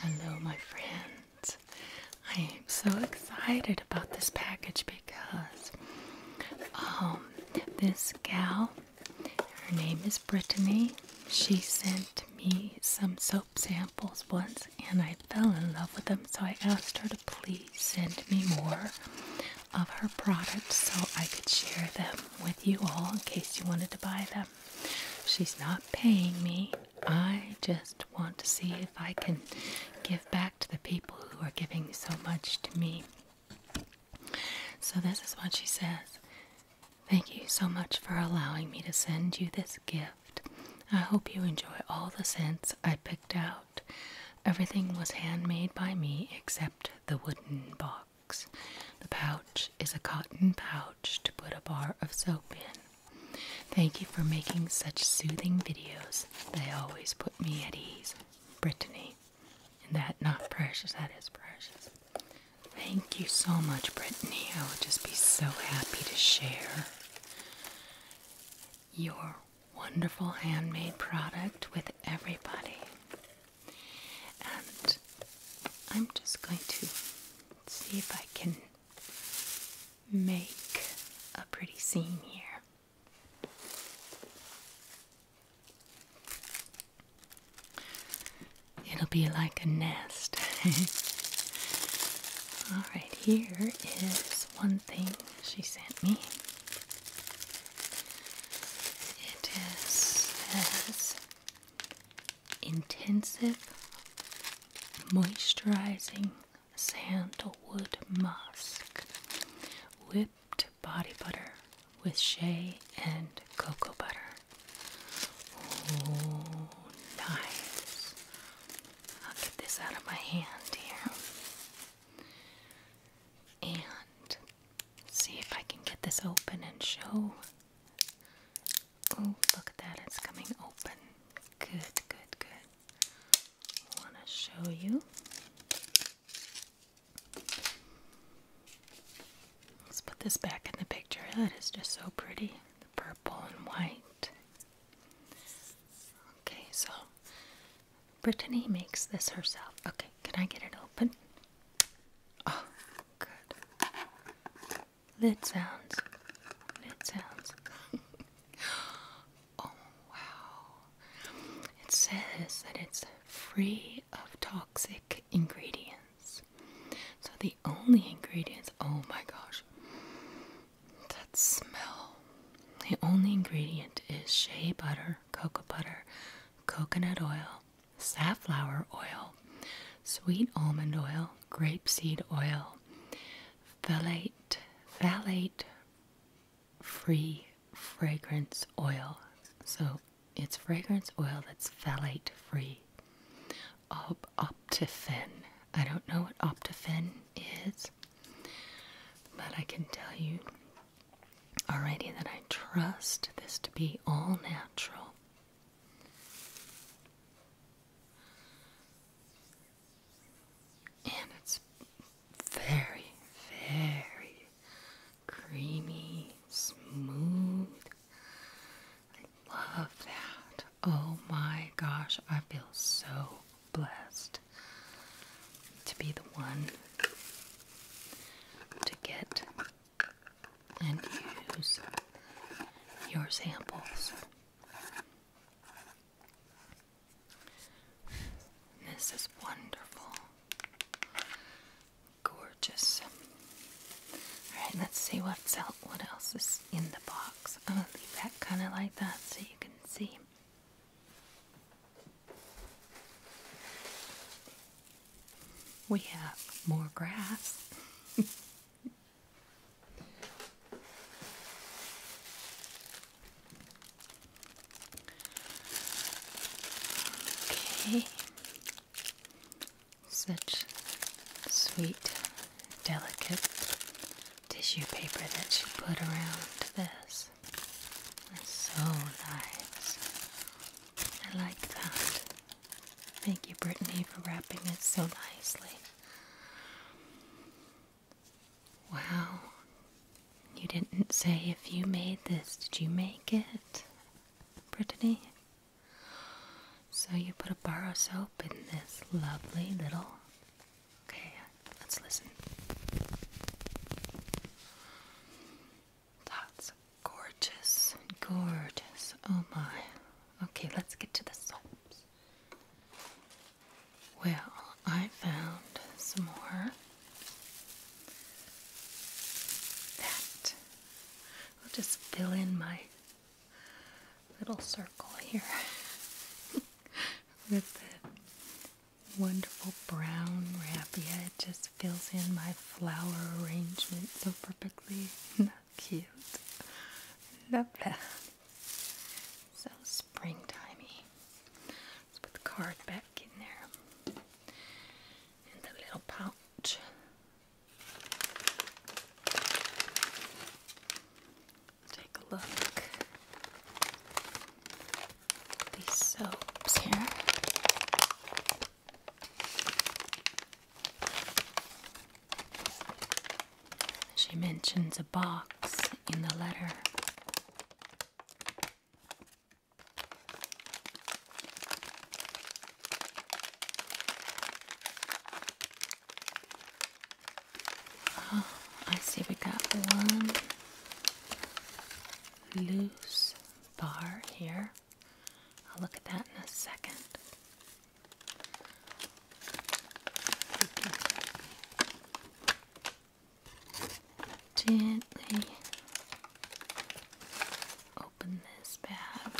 Hello, my friends. I am so excited about this package because um, this gal, her name is Brittany, she sent me some soap samples once and I fell in love with them, so I asked her to please send me more of her products so I could share them with you all in case you wanted to buy them. She's not paying me. I just want to see if I can give back to the people who are giving so much to me. So, this is what she says Thank you so much for allowing me to send you this gift. I hope you enjoy all the scents I picked out. Everything was handmade by me except the wooden box. The pouch is a cotton pouch to put a bar of soap in. Thank you for making such soothing videos. They always put me at ease. Brittany. And that not precious, that is precious. Thank you so much, Brittany. I would just be so happy to share your wonderful handmade product with everybody. And I'm just going to see if I can make a pretty scene here. It'll be like a nest. All right, here is one thing she sent me. It is as intensive, moisturizing sandalwood musk, whipped body butter with shea and cocoa butter. Oh, nice. I'll get this out of my hand here and see if I can get this open and show. Oh, look at that, it's coming open. Good, good, good. I want to show you. Let's put this back in the picture. That is just so pretty. The purple and white. Okay, so Brittany makes this herself. Okay, can I get it open? Oh, good. Lid sounds. Lid sounds. oh, wow. It says that it's free of toxic ingredients. So the only ingredients, oh my gosh. That smell. The only ingredient is shea butter, cocoa butter, coconut oil, safflower oil, sweet almond oil, grapeseed oil, phthalate, phthalate free fragrance oil. So it's fragrance oil that's phthalate free. Optifin. I don't know what optifin is. But I can tell you already that I trust this to be all natural. And it's very, very creamy, smooth. I love that. Oh my gosh, I feel so blessed to be the one to get and use your samples. This is wonderful. Gorgeous. Alright, let's see what's out what else is in the box. I'm gonna leave that kinda like that so you can see. We have more grass. okay. Such sweet, delicate tissue paper that she put around this nice. That's so nice. I like that. Thank you, Brittany, for wrapping it so nicely. Wow. You didn't say if you made this. Did you make it, Brittany? So you put a bar of soap in this lovely little Okay, let's listen. That's gorgeous, gorgeous. Oh my. Okay, let's get to the soaps. Well, I found some more. That will just fill in my little circle here with the wonderful brown raffia. It just fills in my flower arrangement so perfectly. Cute. Love that. So springtimey. Let's put the card back in there. In the little pouch take a look at these soaps here. She mentions a box in the letter. I see we got one loose bar here. I'll look at that in a second. Gently open this bag.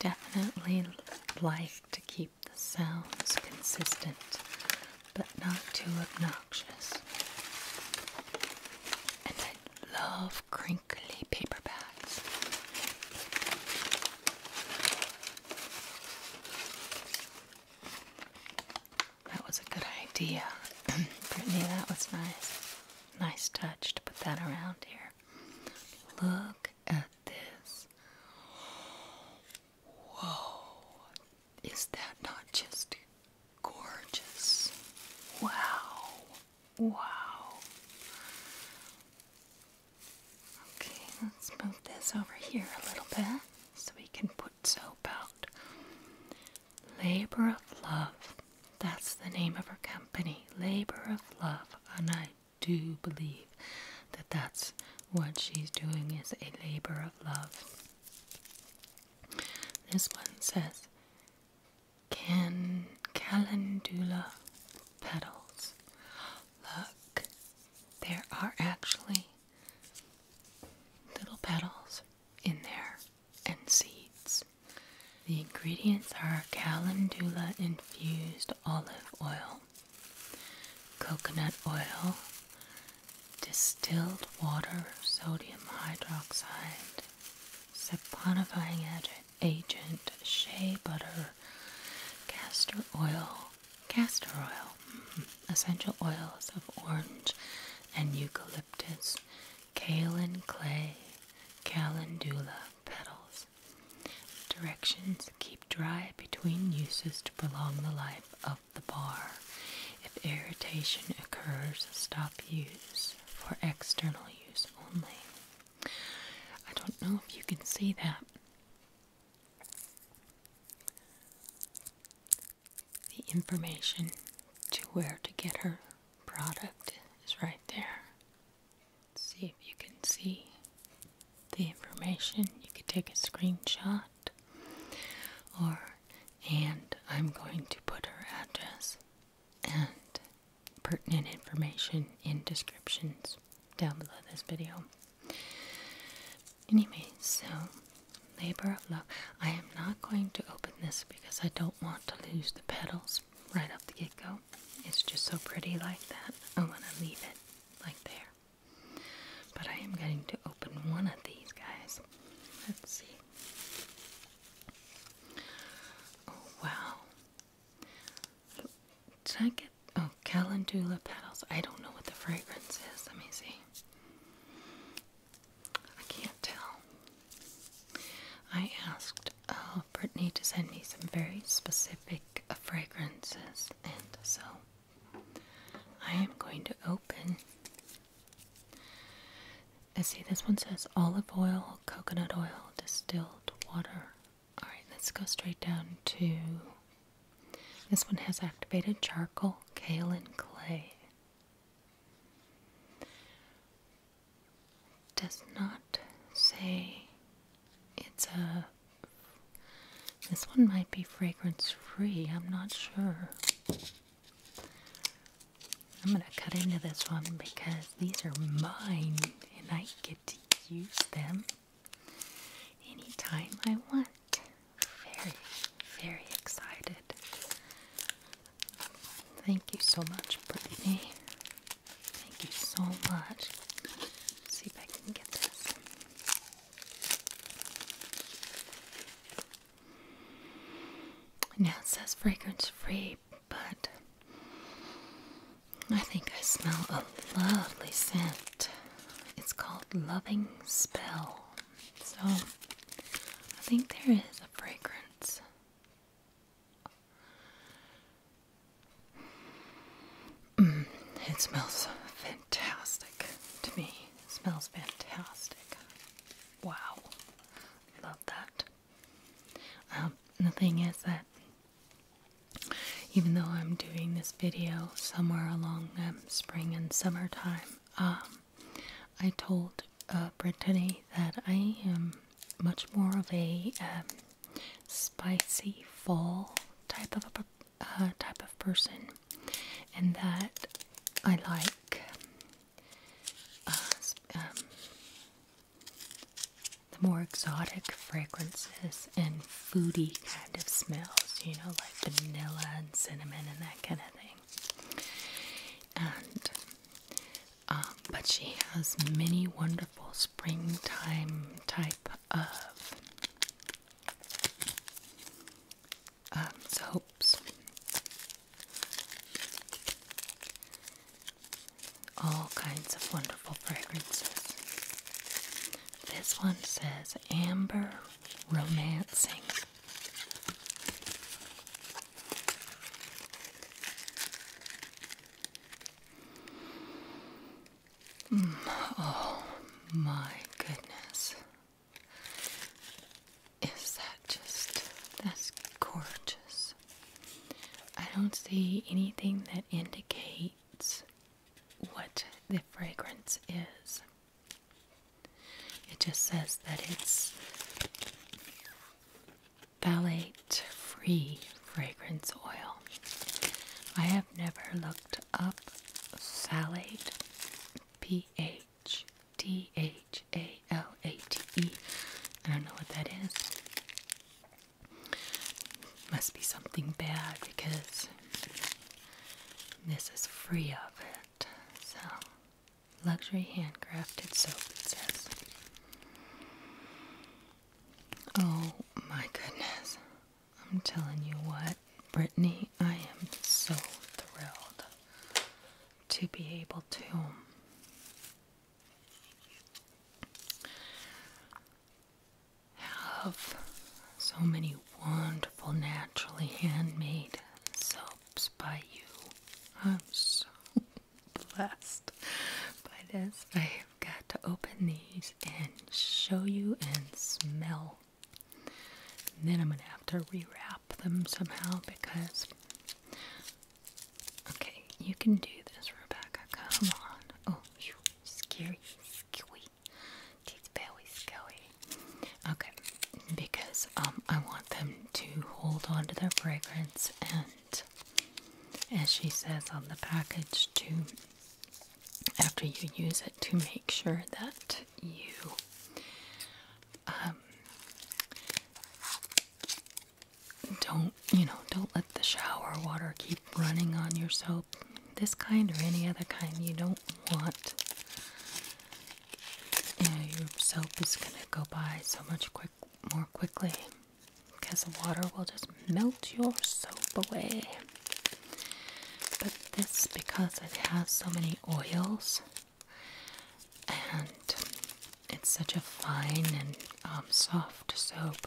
Definitely like to keep the sound is consistent but not too obnoxious. And I love crinkly paper bags. That was a good idea, Brittany. That was nice. Nice touch to put that around here. Look at this. Whoa, is that not just gorgeous? Wow, wow. Okay, let's move this over here a little bit so we can put soap out. Labor of Love. That's the name of our company. Labor of Love. A night do believe that that's what she's doing is a labor of love. This one says, Can calendula petals? Look, there are actually little petals in there and seeds. The ingredients are calendula infused olive oil, coconut oil, distilled water, sodium hydroxide, saponifying agent, shea butter, castor oil, castor oil, mm-hmm, essential oils of orange and eucalyptus, kaolin clay, calendula petals, Directions keep dry between uses to prolong the life of the bar. If irritation occurs, stop use for external use only. I don't know if you can see that. The information to where to get her product is right there. Let's see if you can see the information. You could take a screenshot or and I'm going to put her address and pertinent information in descriptions down below this video. Anyway, so labor of love. I am not going to open this because I don't want to lose the petals right off the get-go. It's just so pretty like that. I want to leave it like there. But I am getting to open one of these guys. Let's see. Oh wow. Did I get oh calendula petals? I don't know what the fragrance is. Let me see. I can't tell. I asked uh, Brittany to send me some very specific like fragrances, and so I am going to open. I see this one says olive oil, coconut oil, distilled water. Alright, let's go straight down to this one has activated charcoal, kaolin clay. Does not say it's a. Uh, this one might be fragrance free, I'm not sure. I'm going to cut into this one because these are mine and I get to use them anytime I want. Very, very excited. Thank you so much, Brittany. Thank you so much. see if I can get this. Now it says fragrance free, but I think I smell a lovely scent. It's called Loving Spell. So I think there is a fragrance. Mm, it smells fantastic to me. smells fantastic. Wow. Love that. Um, the thing is that even though I'm doing this video somewhere along um, spring and summertime, um, I told uh, Brittany that I am much more of a spicy fall type of a uh, type of person, and that I like. Uh, um, the more exotic fragrances and foodie kind of smells, you know, like vanilla and cinnamon and that kind of thing. And, um, but she has many wonderful springtime type of um, um, soaps. All kinds of wonderful fragrances. This one says Amber Romancing. Mm, oh my goodness. Is that just. That's gorgeous. I don't see anything that indicates what the fragrance is. It just says that it's phthalate free fragrance oil. I have never looked up salad. P H D H A L A T E. I don't know what that is. Must be something bad because this is free of it. So, luxury handcrafted soap, it says. Oh my goodness. I'm telling you what, Brittany, I am so thrilled to be able to um, have so many wonderful, naturally handmade soaps by you. I'm so blessed by this. I've got to open these and show you and smell. And then I'm going to have to rewrap them somehow because. Okay, you can do this, Rebecca. Come on. Oh, phew, scary, skewy. Teeth very skewy. Okay, because um, I want them to hold on to their fragrance and, as she says on the package, to after you use it to make sure that you um, don't you know don't let the shower water keep running on your soap this kind or any other kind you don't want you know your soap is going to go by so much quick more quickly because the water will just melt your soap away. But this, because it has so many oils and it's such a fine and um, soft soap,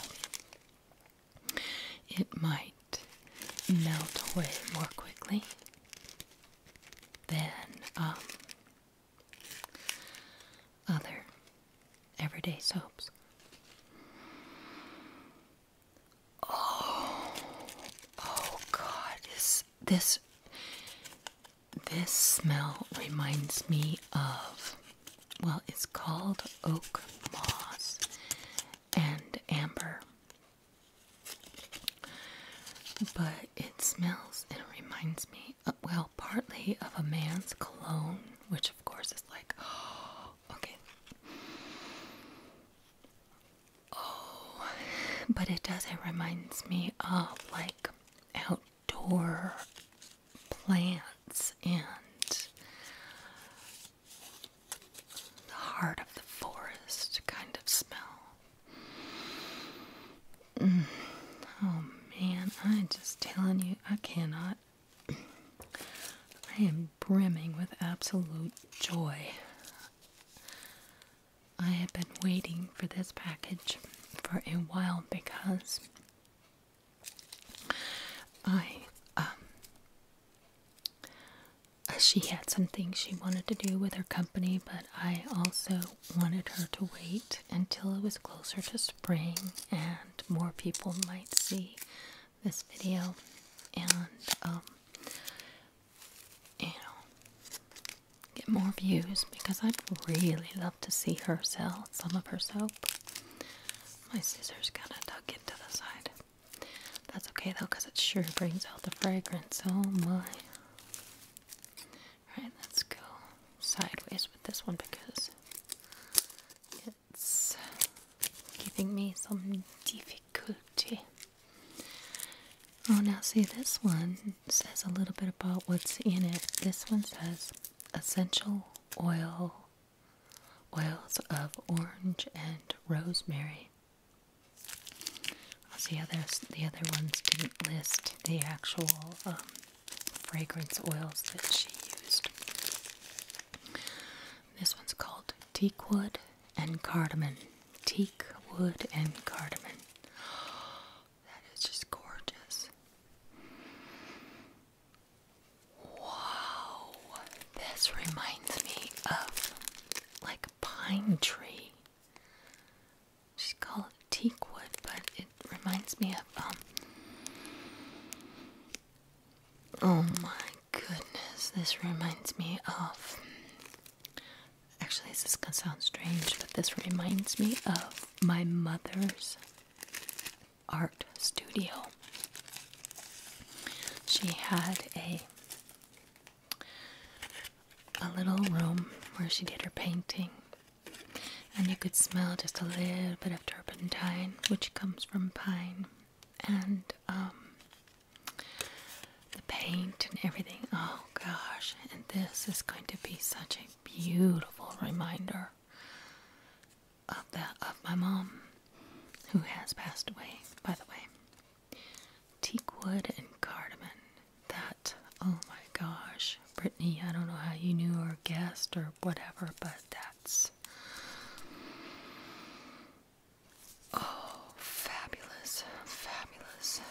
it might melt away more quickly than um, other everyday soaps. Oh, oh God! This, this, this smell reminds me of. Well, it's called oak moss and amber, but it smells and it reminds me, of, uh, well, partly of a man's cologne, which of course is like okay. Oh, but it does. It reminds me of like outdoor plants and the heart of the forest kind of smell. Mm. Oh man, I'm just telling you, I cannot I am brimming with absolute joy. I have been waiting for this package for a while because I, um, she had some things she wanted to do with her company, but I also wanted her to wait until it was closer to spring and more people might see this video and um, you know get more views because I'd really love to see her sell some of her soap. My scissors kinda tuck it to the side. That's okay though because it sure brings out the fragrance. Oh my. Alright, let's go sideways with this one because it's giving me some difficulty. Oh, now see, this one says a little bit about what's in it. This one says essential oil, oils of orange and rosemary. i oh, see how the other ones didn't list the actual um, fragrance oils that she used. This one's called teak wood and cardamom. Teak wood and cardamom. That is just gorgeous. Wow, this reminds me of like a pine tree. Just call it teak wood, but it reminds me of um Oh my goodness, this reminds me of. Actually, this is gonna sound strange, but this reminds me of my mother's art studio. She had a a little room where she did her painting, and you could smell just a little bit of turpentine, which comes from pine and um, the paint and everything. Oh gosh, and this is going to be such a beautiful reminder of that of my mom who has passed away, by the way. Teak wood and cardamom. That oh my gosh, Brittany, I don't know how you knew or guessed or whatever, but that Oh, fabulous, fabulous.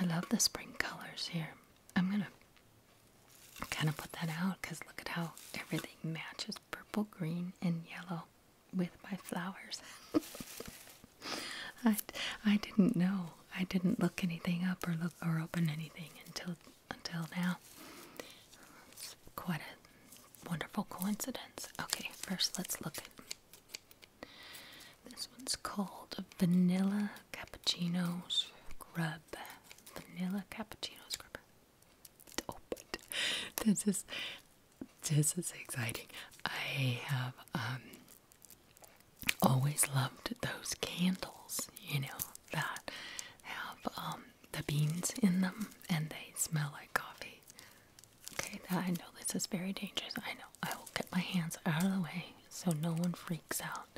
I love the spring colors here. I'm gonna kind of put that out because look at how everything matches purple, green, and yellow with my flowers. I, I didn't know. I didn't look anything up or look or open anything until until now. It's quite a wonderful coincidence. Okay, first let's look at this one's called Vanilla Cappuccino Scrub. Vanilla Cappuccino Scrub. Oh, this is this is exciting. I have um, always loved those candles, you know, that have um, the beans in them and they smell like coffee. Okay, I know this is very dangerous. I know. I will get my hands out of the way so no one freaks out.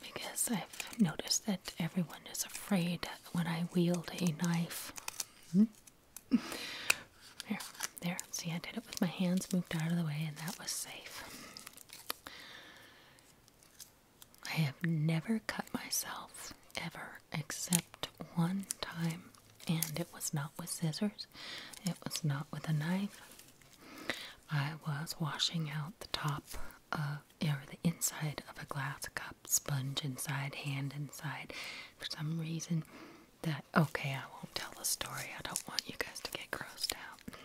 Because I've noticed that everyone is afraid when I wield a knife. Mm there. See, I did it with my hands moved out of the way, and that was safe. I have never cut myself ever except one time, and it was not with scissors, it was not with a knife. I was washing out the top of or the inside of a glass cup, sponge inside, hand inside. For some reason, that okay, I won't tell the story, I don't want you guys to get grossed out.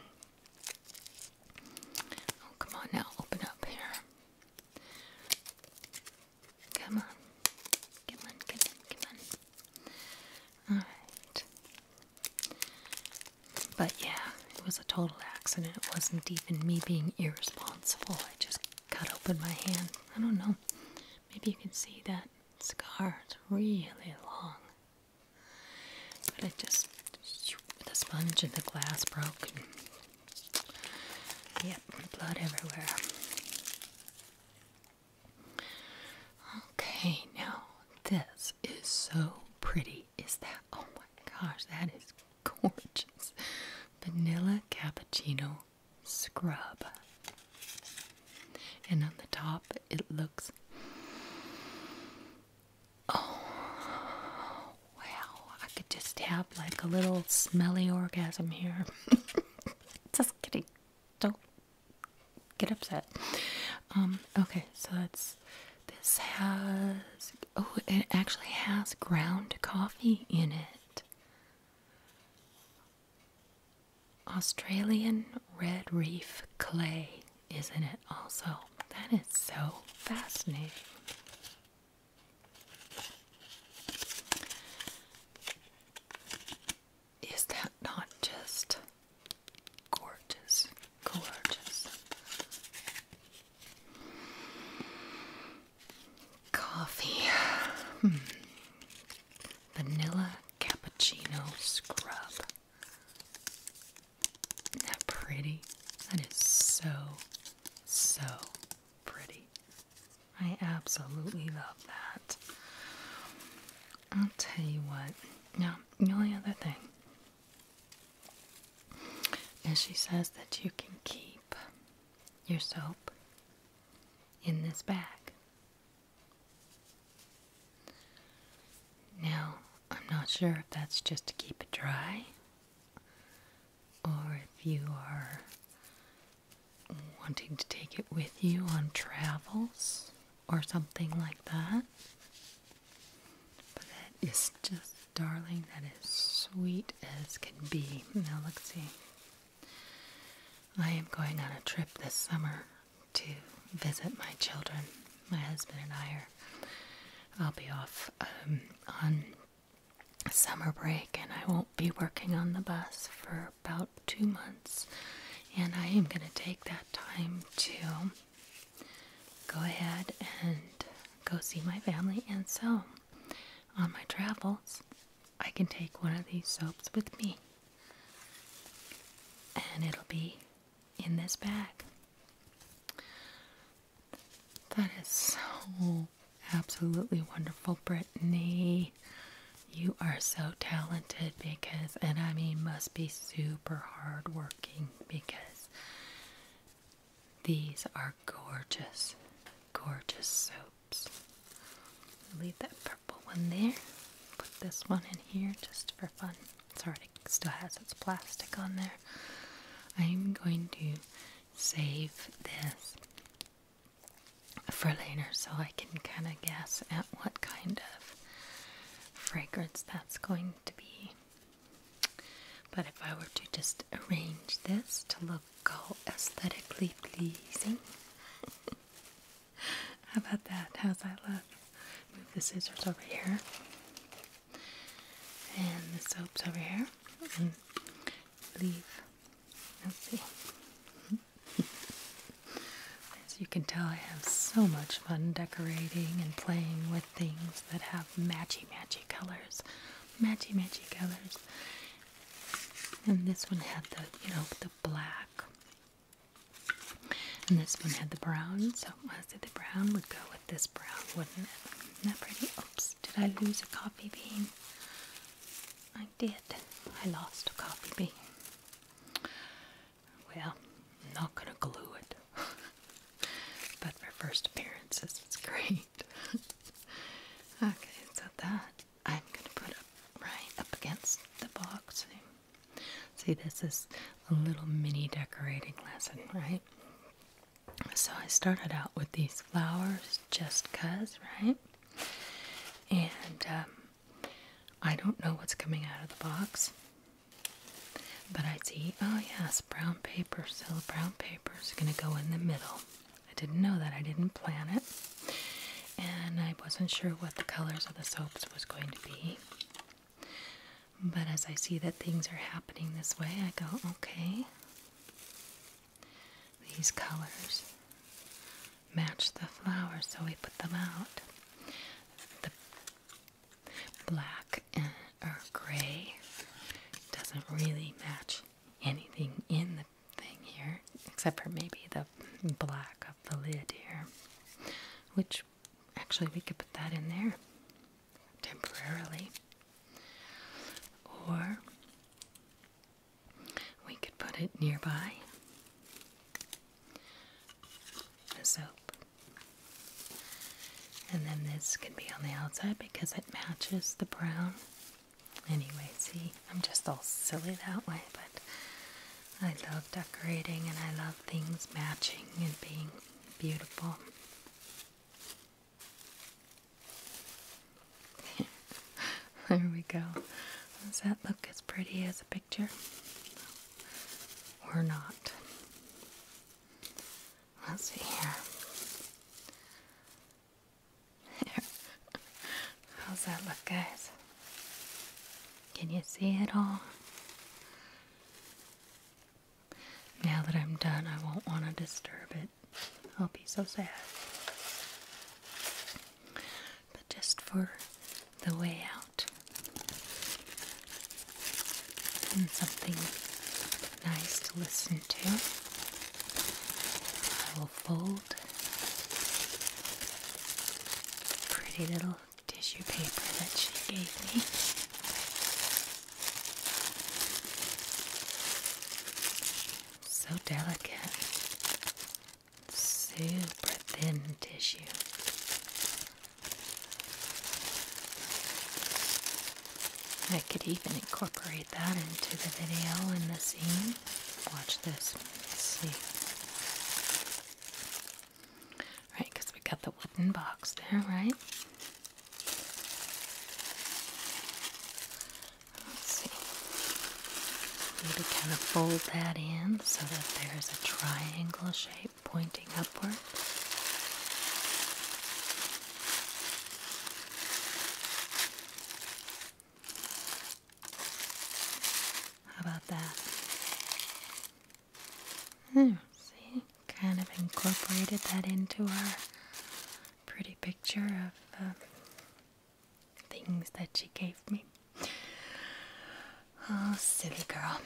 Oh, come on now, open up here. Come on. Come on, come on, come on. Alright. But yeah, it was a total accident. It wasn't even me being irresponsible. I just cut open my hand. I don't know. Maybe you can see that scar. It's really long. But I just, the sponge and the glass broke. Yep, blood everywhere. Okay, now this is so pretty. Is that, oh my gosh, that is gorgeous. Vanilla cappuccino scrub. And on the top, it looks Oh, wow. I could just have like a little smelly orgasm here. just kidding. Don't get upset. Um, okay, so that's this has oh, it actually has ground coffee in it. Australian red reef clay isn't it? Also, that is so fascinating. Is that not just gorgeous? Gorgeous. Coffee. Hmm. Vanilla cappuccino scrub that pretty? That is so, so pretty. I absolutely love that. I'll tell you what. Now, the only other thing is she says that you can keep your soap in this bag. Now, I'm not sure if that's just to keep it dry or if you are wanting to take it with you on travels or something like that. But that is just, darling, that is sweet as can be. Now, let's see. I am going on a trip this summer to visit my children. My husband and I are. I'll be off um, on summer break and I won't be working on the bus for about two months. And I am going to take that time to go ahead and go see my family. And so, on my travels, I can take one of these soaps with me. And it'll be in this bag. That is so absolutely wonderful, Brittany. You are so talented because, and I mean, must be super hardworking because these are gorgeous, gorgeous soaps. Leave that purple one there. Put this one in here just for fun. It's already still has its plastic on there. I'm going to save this for later so I can kind of guess at what kind of fragrance that's going to be. But if I were to just arrange this to look all aesthetically pleasing, how about that? How's that look? Move the scissors over here and the soap's over here, and I let's see. As you can tell, I have so much fun decorating and playing with things that have matchy matchy colors, matchy matchy colors. And this one had the, you know, the black. And this one had the brown, so so let the brown would go with this brown, wouldn't it? Isn't that pretty? Oops, did I lose a coffee bean? I did. I lost a coffee bean. Well, I'm not gonna glue it. but for first appearances, it's great. okay, so that I'm gonna put right up against the box. See, this is a little mini decorating lesson, right? So I started out with these flowers just cuz, right? And um, I don't know what's coming out of the box, but I see, oh yes, brown paper, so brown paper is gonna go in the middle. I didn't know that, I didn't plan it, and I wasn't sure what the colors of the soaps was going to be. But as I see that things are happening this way, I go, okay, these colors match the flowers, so we put them out. The black and, or gray doesn't really match anything in the thing here, except for maybe the black of the lid here, which actually we could put that in there temporarily, or we could put it nearby the soap, and then this could be on the outside because it matches the brown. Anyway, see, I'm just all silly that way, but I love decorating and I love things matching and being Beautiful. there we go. Does that look as pretty as a picture? Or not? Let's see here. How's that look, guys? Can you see it all? Now that I'm done, I won't want to disturb it. I'll be so sad. But just for the way out and something nice to listen to, I will fold pretty little tissue paper that she gave me. So delicate, super thin tissue. I could even incorporate that into the video in the scene. Watch this. see. Right, because we got the wooden box there, right? Let's see. Maybe kind of fold that in so that there is a triangle shape pointing upward. How about that? There, hmm, see, kind of incorporated that into our pretty picture of um, things that she gave me. Oh, silly girl.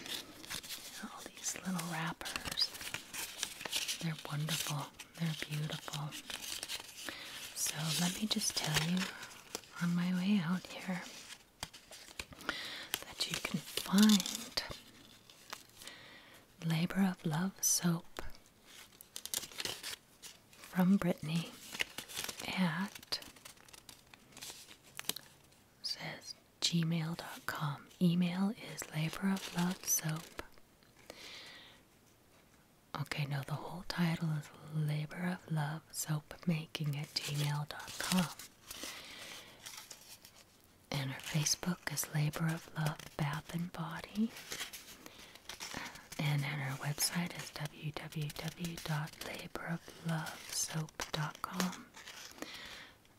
All these little wrappers. They're wonderful. They're beautiful. So let me just tell you on my way out here that you can find Labor of Love Soap from Brittany at says gmail.com. Email is labor of love soap. Okay, no, the whole title is labor of love soap making at gmail.com and her Facebook is Labor of Love Bath and Body. And then her website is www.laboroflovesoap.com.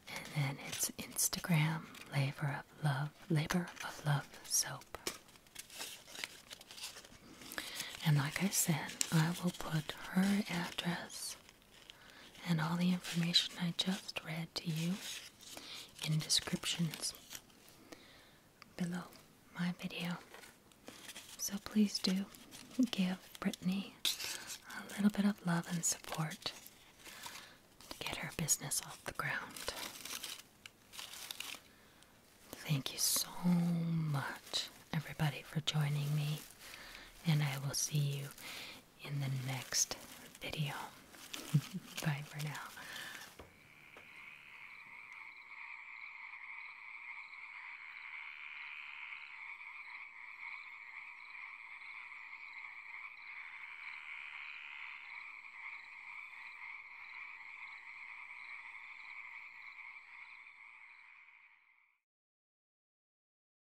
And then it's Instagram, Labor of Love, Labor of Love Soap. And like I said, I will put her address and all the information I just read to you in descriptions below my video. So please do give Brittany a little bit of love and support to get her business off the ground. Thank you so much, everybody, for joining me, and I will see you in the next video. Bye for now.